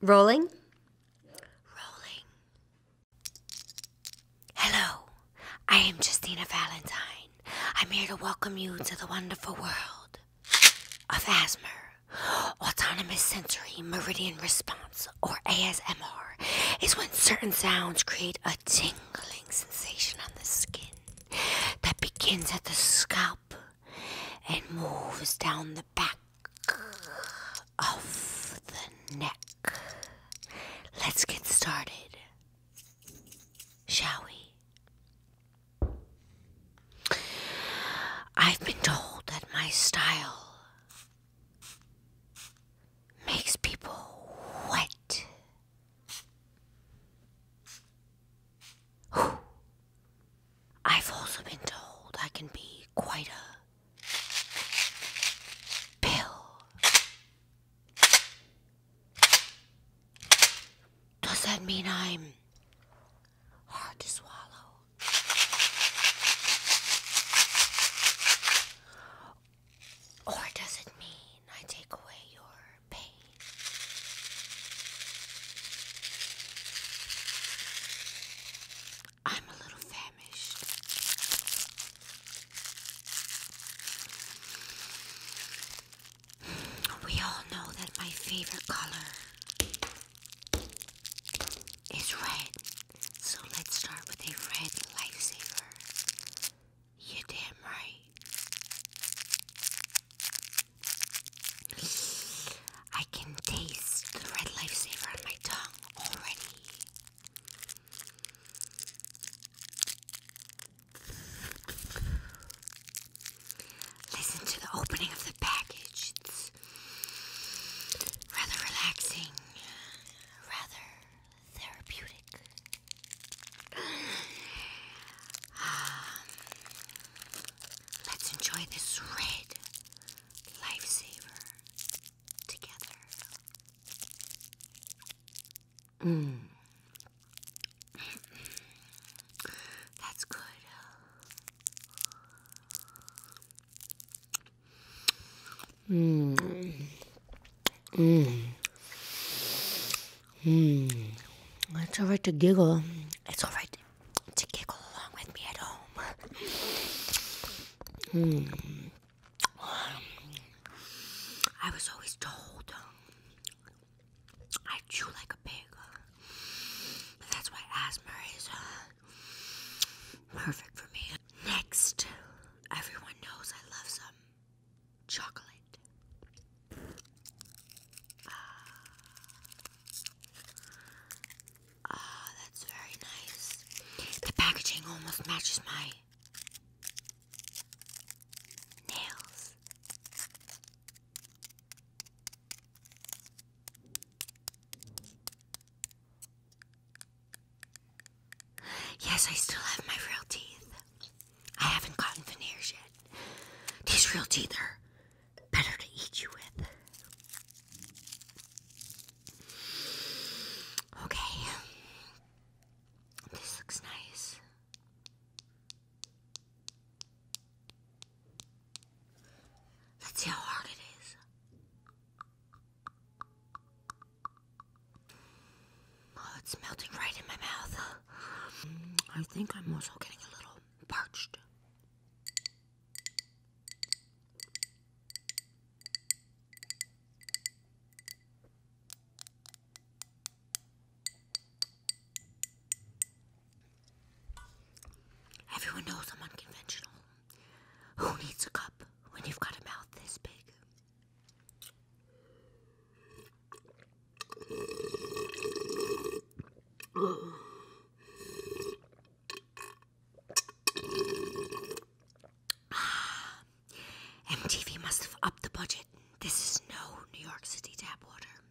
Rolling. Hello, I am Justina Valentine. I'm here to welcome you to the wonderful world of ASMR. Autonomous Sensory Meridian Response, or ASMR, is when certain sounds create a tingling sensation on the skin that begins at the scalp and moves down the back of the neck. Let's get started, shall we? I've been told that my style makes people wet. I've also been told I can be quite a pill. Does that mean I'm hard to swallow? Or does it mean I take away your pain? I'm a little famished. We all know that my favorite color is red, so let's start with a red lifesaver. you damn right. I can taste the red lifesaver on my tongue already. Listen to the opening of the package. It's rather relaxing, rather therapeutic. Um, let's enjoy this red lifesaver together. Mm. That's good. Mm. Mm. Mm. It's alright to giggle. It's alright to giggle along with me at home. Hmm. I was always told I chew like a pig. But that's why asthma is uh, perfect for me. Next, everyone knows I love some chocolate. Uh, Ah, that's very nice. The packaging almost matches my nails. Yes, I still have my real teeth. I haven't gotten veneers yet. These real teeth are better to eat you with. Okay, this looks nice. Let's see how hard it is. Oh, it's melting right in my mouth. I think I'm also getting a little parched. Everyone knows I'm unconventional. Who needs a cup when you've got a mouth this big? MTV must have upped the budget. This is no New York City tap water.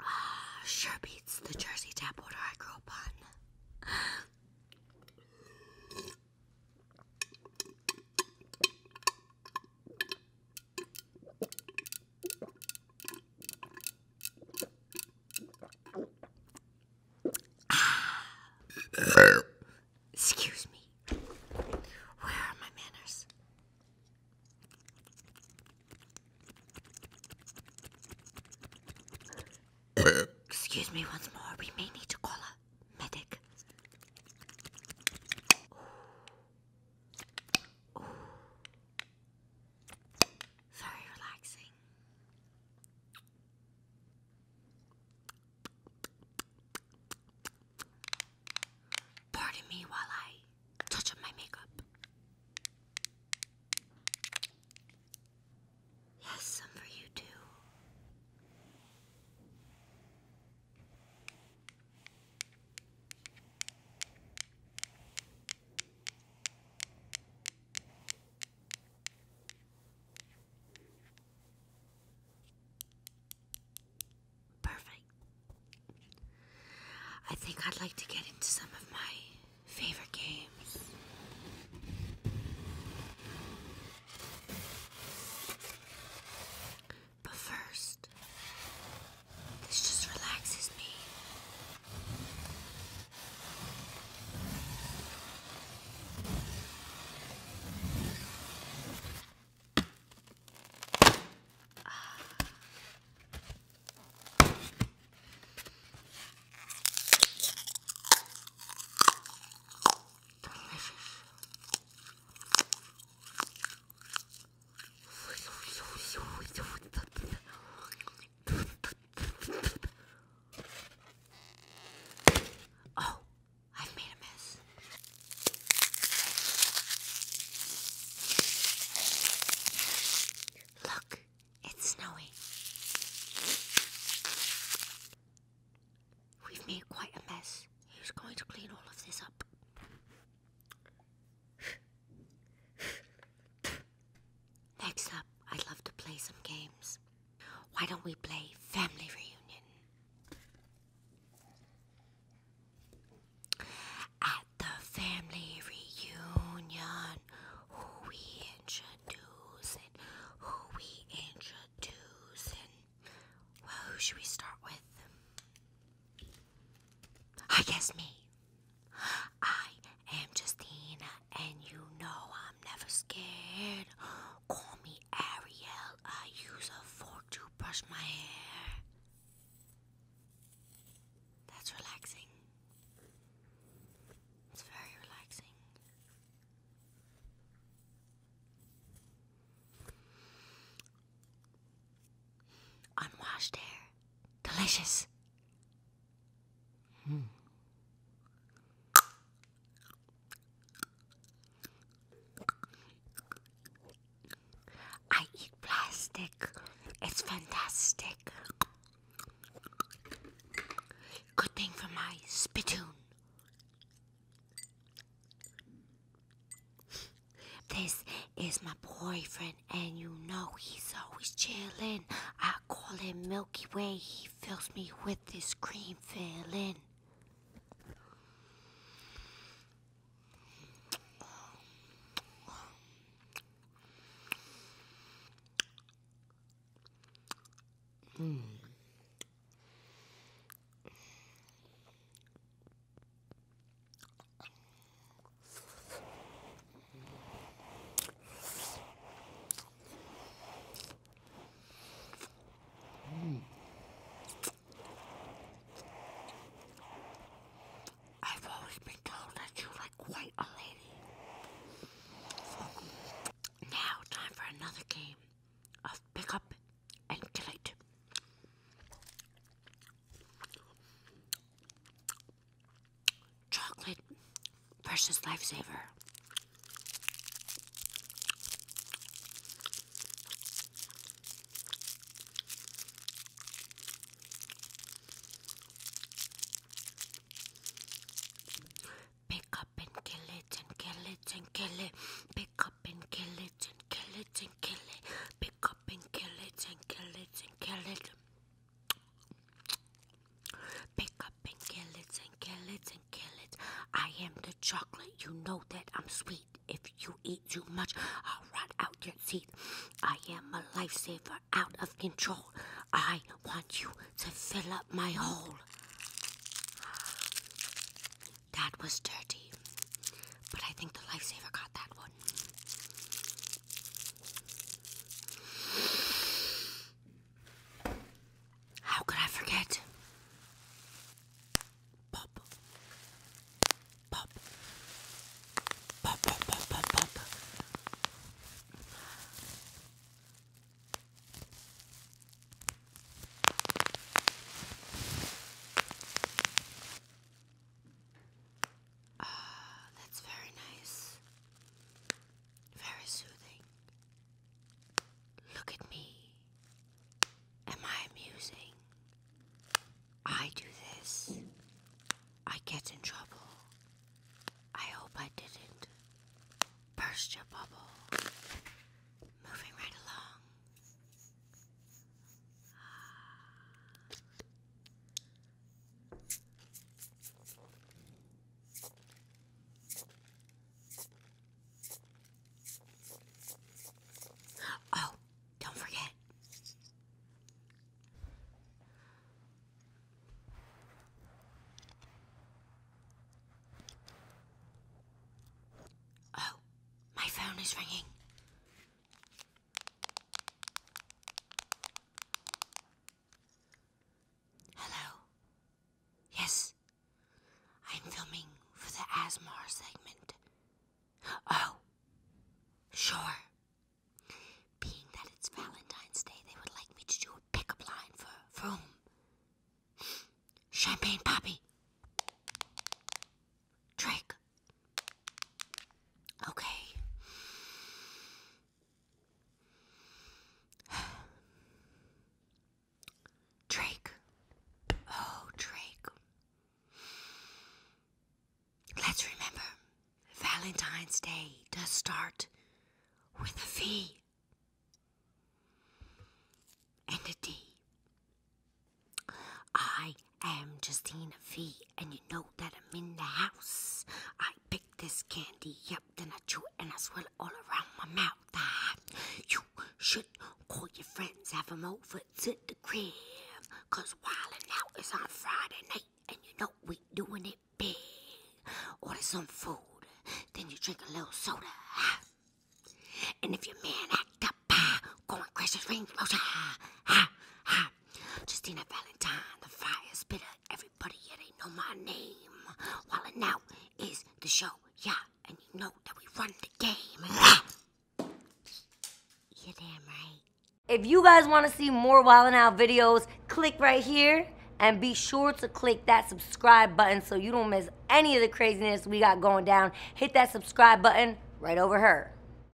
Ah, sure beats the Jersey tap water I grew up on. Excuse me. Where are my manners? Excuse me once more. We may need to call a medic. Very relaxing. Pardon me while I touch up my makeup. Yes, some for you too. Perfect. I think I'd like to get into some of my favorite games. But first, this just relaxes me. Ah. Oh, I've made a mess. Look, it's snowing. We've made quite a mess. Who's going to clean all of this up? Next up, I'd love to play some games. Why don't we play Family Reunion? At the family reunion, who we introducing? Who we introducing? Well, who should we start with? I ah, guess me. I am Justina, and you know I'm never scared. Call me Ariel. I use a fork to brush my hair. That's relaxing. It's very relaxing. Unwashed air. Delicious. Hmm. I eat plastic. It's fantastic. Good thing for my spittoon. This is my boyfriend, and you know he's always chillin'. I call him Milky Way. He fills me with this cream filling. Hmm. I've always been told that you like quite a lady. Now, time for another game of pick up and delete. Chocolate, precious lifesaver. Pick up and kill it and kill it and kill it. Pick up and kill it and kill it and kill it pick up and kill it and kill it and kill it. Pick up and kill it and kill it and kill it. I am the chocolate. You know that I'm sweet. If you eat too much, I'll rot out your teeth. I am a lifesaver out of control. I want you to fill up my hole. That was dirty. But I think the lifesaver got that one. How could I forget? Pop. Pop. Pop, pop, pop, pop, Ah, that's very nice. Very soothing. Look at me. Am I amusing? I do this. I get in trouble. I hope I didn't. Burst your bubble. Moving right along. Oh, don't forget. Oh, my phone is ringing. Hello. Yes. I'm filming for the ASMR segment. Oh. Sure. Being that it's Valentine's Day, they would like me to do a pickup line for for Champagne Poppy. Drake. Okay. Drake. Oh, Drake. Let's remember Valentine's Day does start with a V and a D. I am Justina V, and you know that I'm in the house. I picked this candy up, then I chew it and I swirl it all around my mouth. Ah, you should call your friends, have them over to the crib. Cause wildin' out is on Friday night, and you know we doing it big. Order some food, then you drink a little soda. And if your man act up, go and crash his Range Rover. Justina Valentine, the fire spitter. Everybody here, yeah, know my name. While and is the show, yeah, and you know that we run the game. you damn right. If you guys want to see more Wild Out videos, click right here and be sure to click that subscribe button so you don't miss any of the craziness we got going down. Hit that subscribe button right over here.